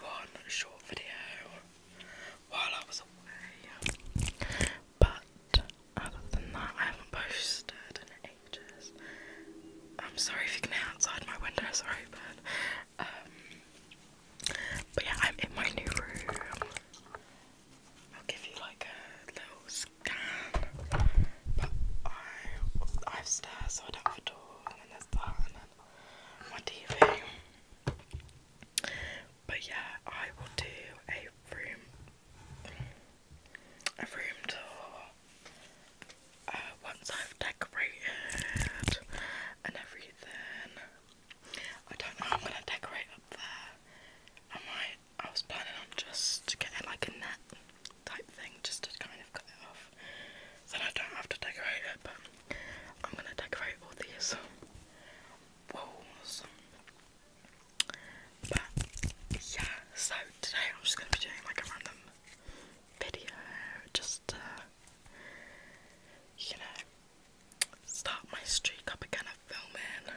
one short video while I was away. But other than that, I haven't posted in ages. I'm sorry if you can hear outside my window, sorry, but um, but yeah, I'm in my new room. I'll give you like a little scan, but I I have stairs, so I don't have a door, and then there's that, my TV. But yeah, I will do a room a room tour uh, once I've decorated and everything. I don't know how I'm gonna decorate up there. I might I was planning on just getting like a net type thing just to kind of cut it off then I don't have to decorate it, but I'm gonna decorate all these walls. But yeah, so today I'm just gonna be doing like a random video, just you know, start my streak up again of filming.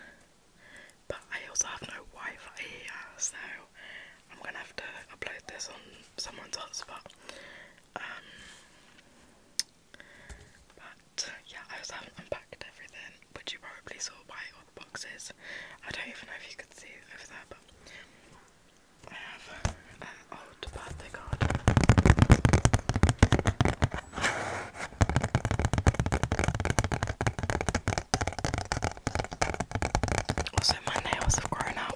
But I also have no Wi Fi here, so I'm gonna have to upload this on someone's hotspot. Um, but yeah, I just have unpacked everything, which you probably saw by all the boxes. I don't even know if you could see over there, but I have an old birthday card. Also, my nails have grown out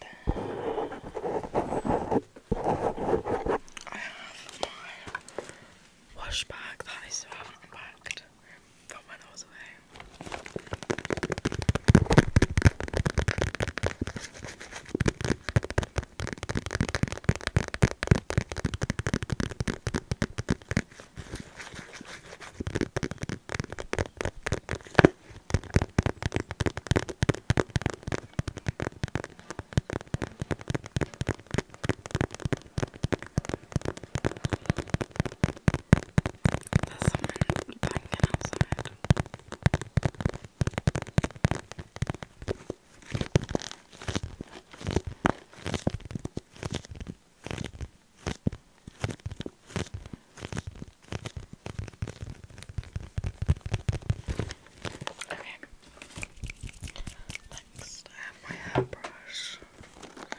that. I have my wash bag that I unpacked from when I away. There's someone banging outside. Okay. Next, I have my hairbrush. Okay.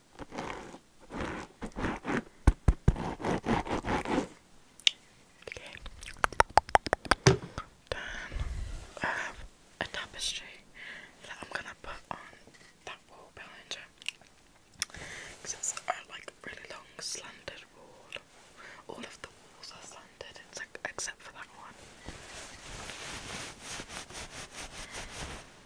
Okay. Then I have a tapestry that I'm gonna put on that wall behind you. Because it's like really long slanted wall. All of the walls are slanted, it's except for that one.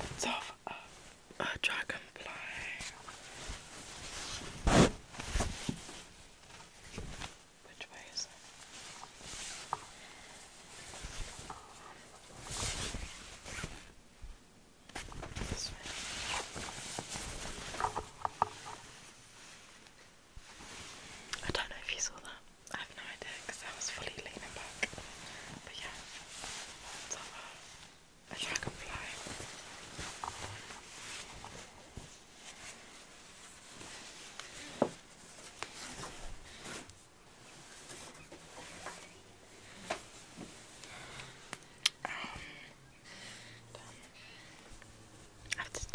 It's off. a, a dragonfly. Which way is it? This way. I don't know if you saw that. I have no idea because I was fully leaning back. But yeah, it's like oh, a dragonfly. Um, I have to study.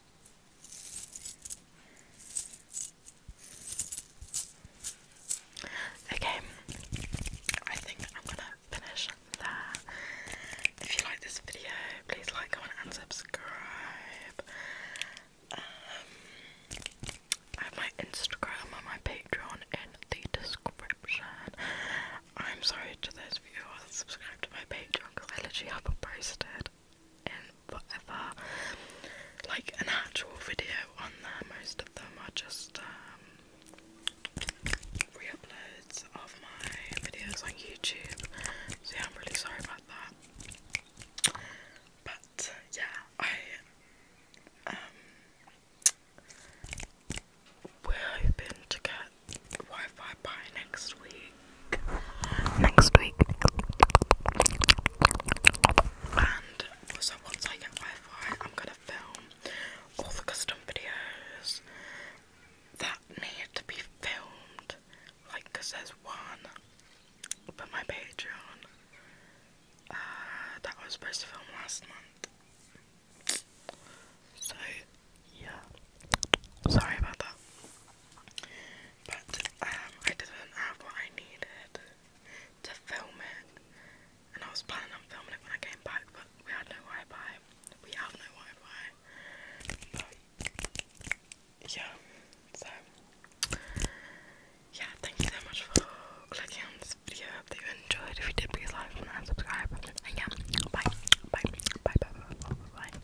Okay, I think I'm gonna finish there. If you like this video, please like, comment, and subscribe. Um, I have my Instagram and my Patreon in the description. I'm sorry to those of subscribed to my Patreon because I literally haven't posted in forever. Like an actual video on there, most of them are just um, of my videos on YouTube. So, I'm really sorry about that. But, yeah, I um, we're hoping to get Wi Fi by next week next week. And so once I get wi I'm gonna film all the custom videos that need to be filmed. Like, there's one for my Patreon uh, that was supposed to film last month. So yeah, sorry about that. But um, I didn't have what I needed to film it, and I was planning on filming it when I came back, but we had no Wi-Fi. We have no Wi-Fi. yeah, so yeah, thank you so much for clicking on this video. I hope that you enjoyed. If you did, please like, comment, and subscribe. And yeah, bye, bye, bye, bye, bye, bye. bye.